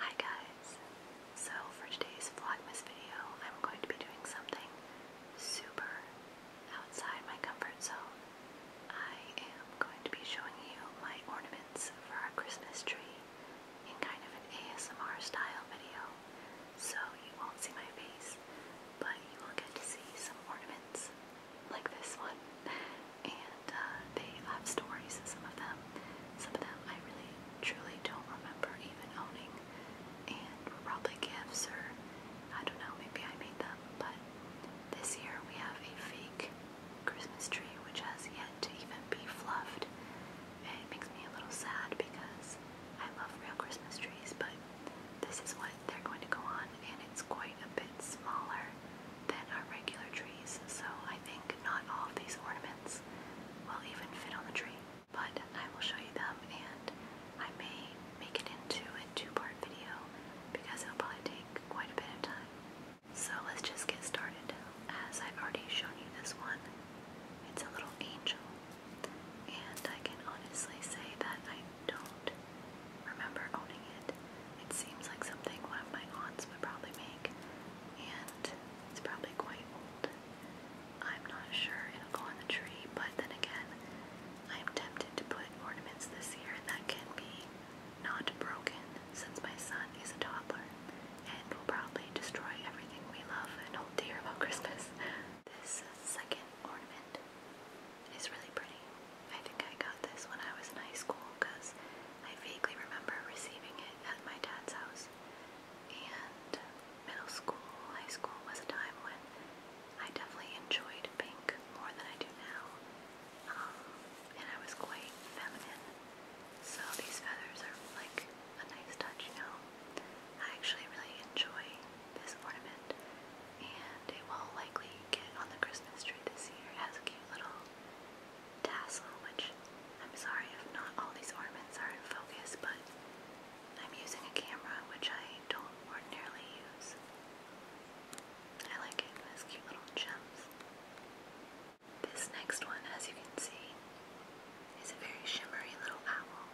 Hi guys! So for today's Vlogmas video, I'm going to be doing something super outside my comfort zone. I am going to be showing you my ornaments for our Christmas tree in kind of an ASMR style video. So you won't see my face, but you will get to see some ornaments like this one. And uh, they have stories. Some of them, some of them, I really truly don't remember even owning, and were probably gifts or I don't know. Maybe I made them, but this year we have a fake Christmas tree which has yet to even be fluffed. And it makes me a little sad because I love real Christmas trees, but this is what they're going to go on, and it's quite a bit smaller than our regular trees, so I think not all of these ornaments will even fit on the tree. But I will show you them and I may make it into a two-part video because it'll probably take quite a bit of time. So let's just get started. As I've already shown you this one, it's a little angel. And I can honestly say that I don't remember owning it. It seems like something one of my aunts would probably make and it's probably quite old. I'm not sure it'll go on the tree, but then again, I'm tempted to put ornaments this year that can be not broken since my son is a toddler and will probably destroy everything we love and hold dear about Christmas. This second ornament is really pretty. I think I got this when I was in high school because I vaguely remember receiving it at my dad's house. And middle school, high school was a time when I definitely enjoyed pink more than I do now. Um, and I was quite feminine. So these feathers are like a nice touch, you know. I actually really enjoy this ornament. And it will likely get on the Christmas tree this year. It has a cute little tassel, which I'm sorry if not all these ornaments are in focus, but I'm using a camera which I don't ordinarily use. I like it, it cute little gems. This next one, as you can see, is a very shimmery little owl,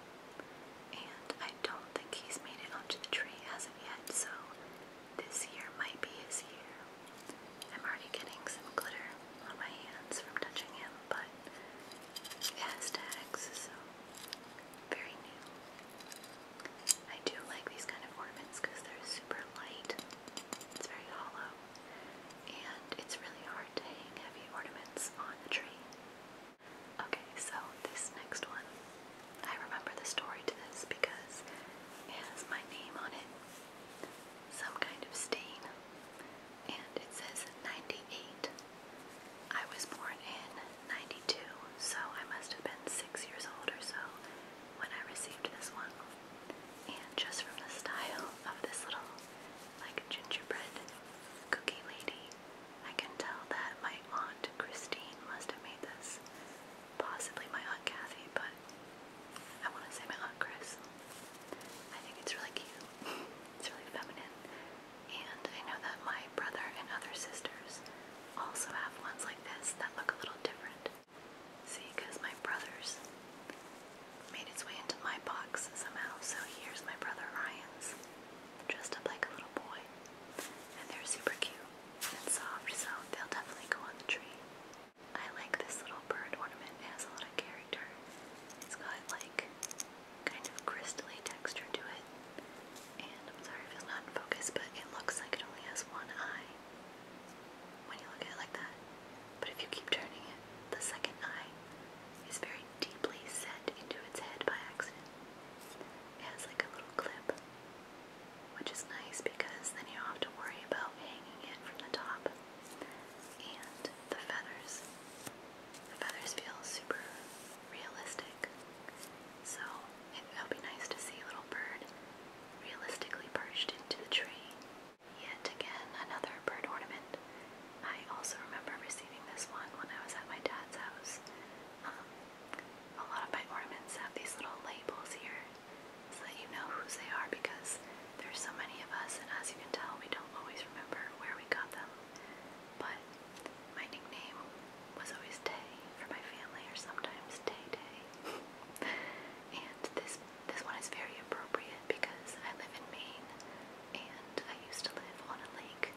and I don't think he's made it onto the tree as of yet, so this here might be his year. I'm already getting some glitter on my hands from touching him, but it so very new. I do like these kind of ornaments because they're super light. It's very hollow. And it's really hard to hang heavy ornaments on a tree. Okay, so this next one, I remember the story to this because it has my name on it some kind of stain, and it says 98. I was born in 92, so I must have been six years old or so when I received this one. And just from the style of this little, like, gingerbread cookie lady, I can tell that my aunt Christine must have made this possibly my Aunt Kathy, but I want to say my Aunt Chris. I think it's really cute. It's really feminine. And I know that my brother and other sisters also have ones like this that look a little different. See, because my brother's made its way into my box somehow, so here's my brother Ryan's, dressed up like a little boy. And they're super cute and soft, so they'll definitely go on the tree. I like this little bird ornament. It has a lot of character. It's got like kind of crystally texture to it. And I'm sorry if it's not in focus, but it looks like it only has one eye when you look at it like that. But if you keep turning it, the second eye is very deeply set into its head by accident. It has like a little clip which is nice because then you don't have to worry about hanging it from the top. And the feathers, the feathers feel super realistic. So it'll be nice to see a little bird realistically perched into the tree. Yet again, another bird ornament. I also remember receiving this one when I was at my dad's house. Um, a lot of my ornaments have these little labels here so that you know whose they are because there's so many of us and as you can tell we don't always remember where we got them. But my nickname was always Tay for my family or sometimes Tay Tay. and this this one is very appropriate because I live in Maine and I used to live on a lake.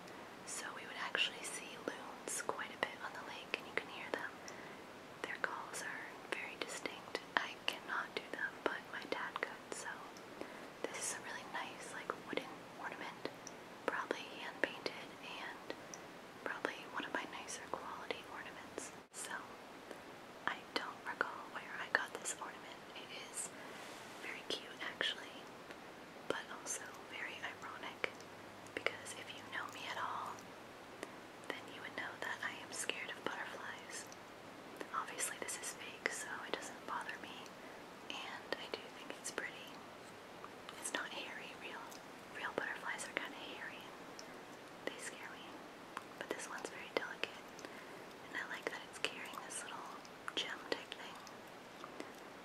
So we would actually see loons quite a bit on the lake and you can hear them their calls are very distinct. I cannot do them, but my dad could, so this is a really nice like wooden ornament, probably hand painted and probably one of my nicer quality ornaments. So I don't recall where I got this ornament. It is very cute actually, but also very ironic because if you know me at all, then you would know that I am scared of butterflies. Obviously, this is fake, so it doesn't bother me, and I do think it's pretty. It's not hairy, real. Real butterflies are kind of hairy they scare me, but this one's very delicate, and I like that it's carrying this little gem type thing.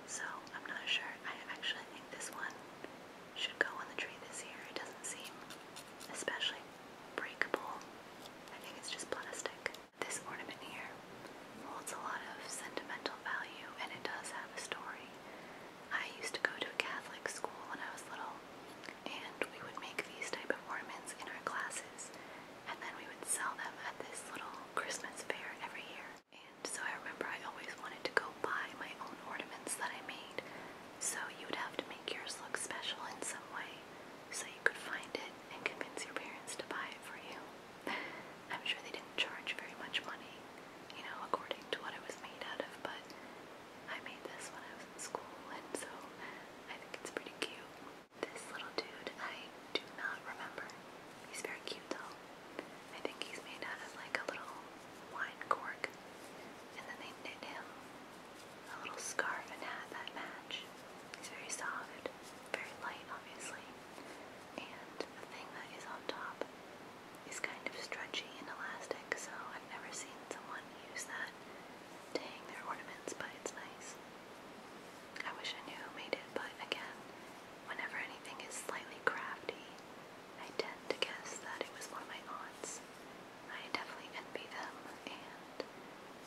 So, I'm not sure. I actually think this one should go on the tree this year. It doesn't seem especially breakable. I think it's just plastic. This ornament here holds a lot of sentimental value and it does have a story. I used to go to a Catholic school when I was little and we would make these type of ornaments in our classes and then we would sell them at this little Christmas fair every year. And so I remember I always wanted to go buy my own ornaments that I made. So you would have to make yours look special in some way so you could find it and convince your parents to buy it for you. I'm sure they didn't charge very much money, you know, according to what it was made out of, but I made this when I was in school and so I think it's pretty cute. This little dude, I do not remember. He's very cute though. I think he's made out of like a little wine cork. And then they knit him a little scarf and hat that match. He's very soft, very light obviously. And the thing that is on top is kind of stretchy and elastic, so I've never seen someone use that to hang their ornaments, but it's nice. I wish I knew who made it, but again, whenever anything is slightly crafty, I tend to guess that it was one of my aunts. I definitely envy them, and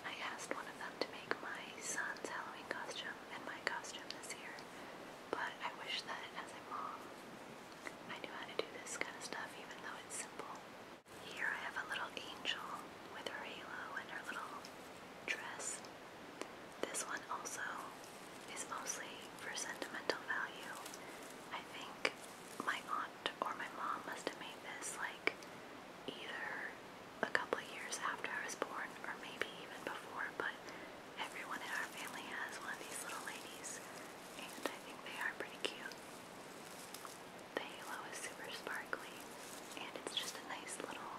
I asked one of them to make my son's Halloween costume and my costume this year. But I wish that as a mom, I knew how to do this kind of stuff, even though it's simple. Here I have a little angel with her halo and her little dress. This one also is mostly for sentimental value. I think my aunt or my mom must have made this like either a couple of years after I was born or maybe even before, but everyone in our family has one of these little ladies and I think they are pretty cute. The halo is super sparkly and it's just a nice little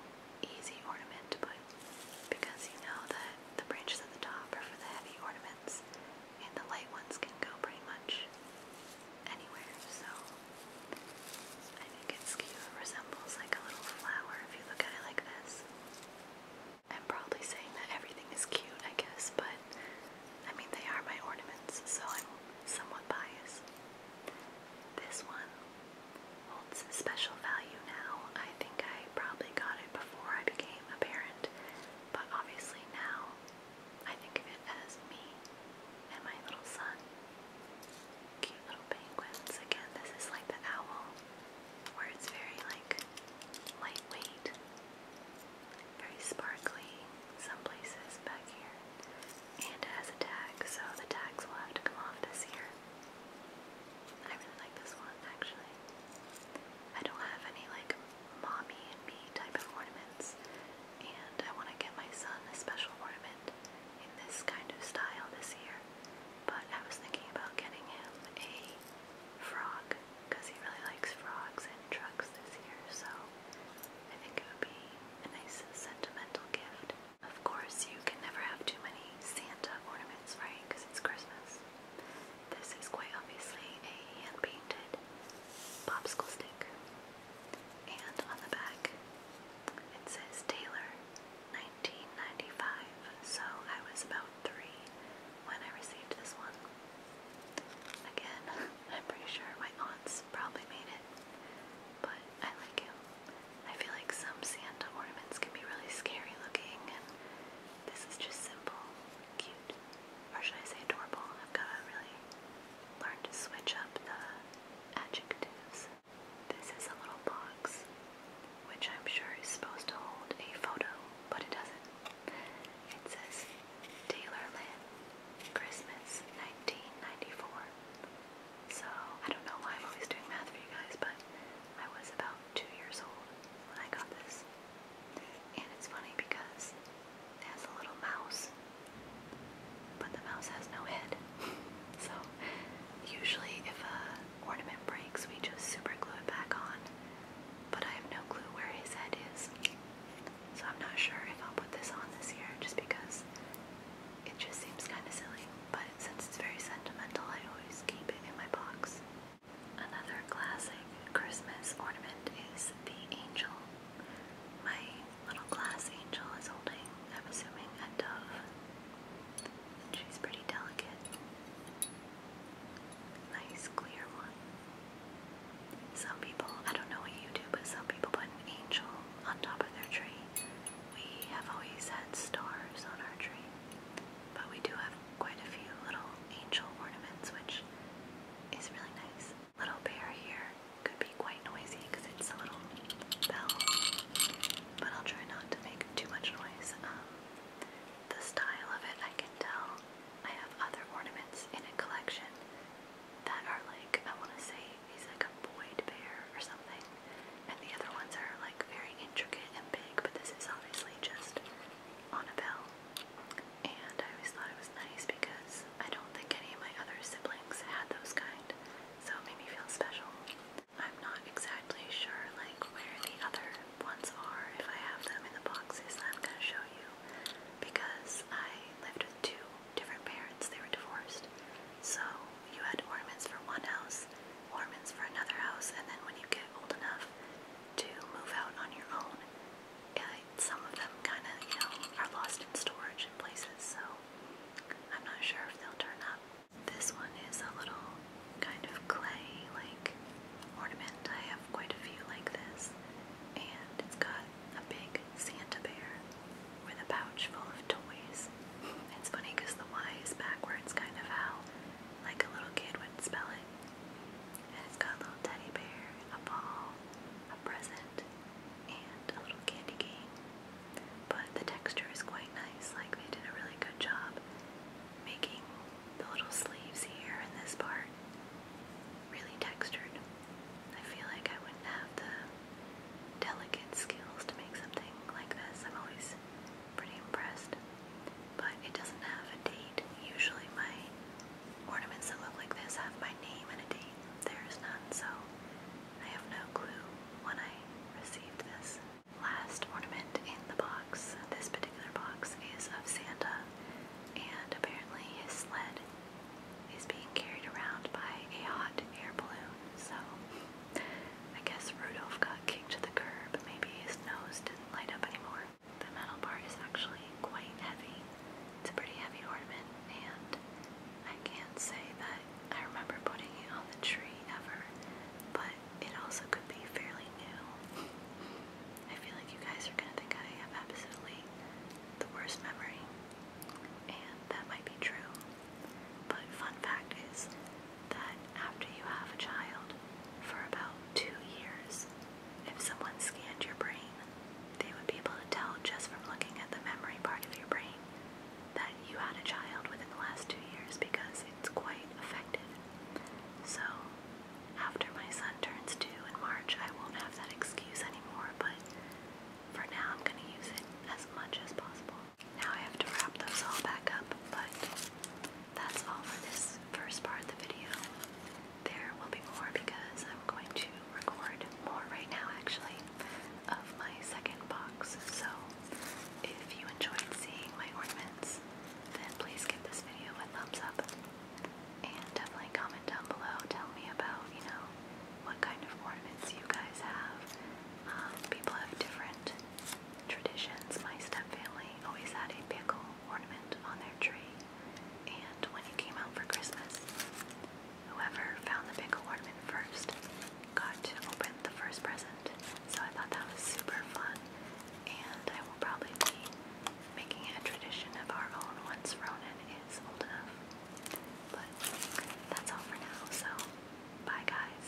easy ornament to put because you know that the branches at the top are for the heavy ornaments and the light ones can go pretty much anywhere, so I think it's cute. resembles like a little flower if you look at it like this. I'm probably saying that everything is cute, I guess, but I mean, they are my ornaments, so I'm somewhat biased. This one holds special value now. I think I probably got it before I became a parent, but obviously now, I think of it as me and my little son. Cute little penguins. Again, this is like the owl, where it's very like lightweight, very sparkly. Some places back here, and it has a tag, so the tags will have to come off this year. I really like this one actually. I don't have any like mommy and me type of ornaments, and I want to get my son a special ornament in this kind of style this year. But I was thinking about getting him a frog because he really likes frogs and trucks this year, so I think it would be a nice sentimental gift. Of course, you can never have too many Santa ornaments, right? Because it's Christmas. This is quite obviously a hand-painted popsicle stick. And on the back, it says Taylor, 1995. So I was about three when I received this one. Again, I'm pretty sure my aunts probably made it, but I like it. I feel like some Santa ornaments can be really scary looking, and this is just simple, cute or should I say adorable? I've got to really learn to switch up the adjectives. This is a little box, which I'm sure is supposed to hold a photo, but it doesn't. It says Taylor Lynn, Christmas 1994. So, I don't know why I'm always doing math for you guys, but I was about two years old when I got this. And it's funny because it has a little mouse, but the mouse has no head. so usually if a ornament breaks, we just super glue it back on. But I have no clue where his head is. So I'm not sure if I'll put this on this year just because it just seems kind of silly. But since it's very sentimental, I always keep it in my box. Another classic Christmas ornament is the angel. My little glass angel is holding, I'm assuming, a dove. And she's pretty delicate. Nice clear one. Some people, I don't know what you do, but some people put an angel on top of their tree. We have always had stars on our tree. But we do have quite a few little angel ornaments, which is really nice. Little bear here could be quite noisy because it's a little bell, but I'll try not to make too much noise. Um, the style of it, I can tell. I have other ornaments in a collection that are like, I want to say he's like a Boyd bear or something, and the other ones are like very intricate and big, but this is obviously just on a bell. And I always thought it was nice because I don't think any of my other siblings had those kind. So it made me feel special. I'm not exactly sure like where the other ones are if I have them in the boxes that I'm gonna show you because I lived with two different parents, they were divorced. So you had ornaments for one house, ornaments for another house, and then when you get old enough, to move out on your own. Uh, some of them kind of, you know, are lost in storage in places, so I'm not sure if they'll turn up. This one is a little kind of clay like ornament. I have quite a few like this, and it's got a big Santa bear with a pouch full of toys. It's funny because the Y is backwards, kind of how like a little kid would spell it. And it's got a little teddy bear, a ball, a present, and a little candy cane. But the texture is quite nice, like they did a really good job making the little sleeves here in this part really textured. I feel like I wouldn't have the delicate skills to make something like this. I'm always pretty impressed. But it doesn't have a date. Usually my ornaments that look like this have my name and a date. There is none, so I have no clue when I received this. Last ornament in the box, this particular box, is of Santa, and apparently his sled is being carried around by a hot air balloon, so I guess Rudolph got kicked to the curb. Maybe his nose did light up anymore. The metal part is actually quite heavy. It's a pretty heavy ornament, and I can't say that I remember putting it on the tree ever, but it also could be fairly new. I feel like you guys are gonna think I have absolutely the worst memory, and that might be true. But fun fact is, that after you have a child, for about two years, if someone scanned your brain, they would be able to tell just from looking at the memory part of your brain that you had a child within the last two years because it's quite effective. So, after my son turns two in March, I won't have that excuse anymore, but for now I'm going to use it as much as possible. Now I have to wrap those all back up, but that's all for this first part of the video. There will be more because I'm going to record more right now actually of my second box. So if you enjoyed seeing my ornaments, then please give this video a thumbs up and definitely comment down below. Tell me about, you know, what kind of ornaments you guys have. Um, people have different traditions, my stepfamily always had a pickle ornament on their tree, and when it came out for Christmas, whoever found the pickle ornament first got to open the first present. So I thought that was super fun, and I will probably be making a tradition of our own once Ronan is old enough. But that's all for now, so bye guys.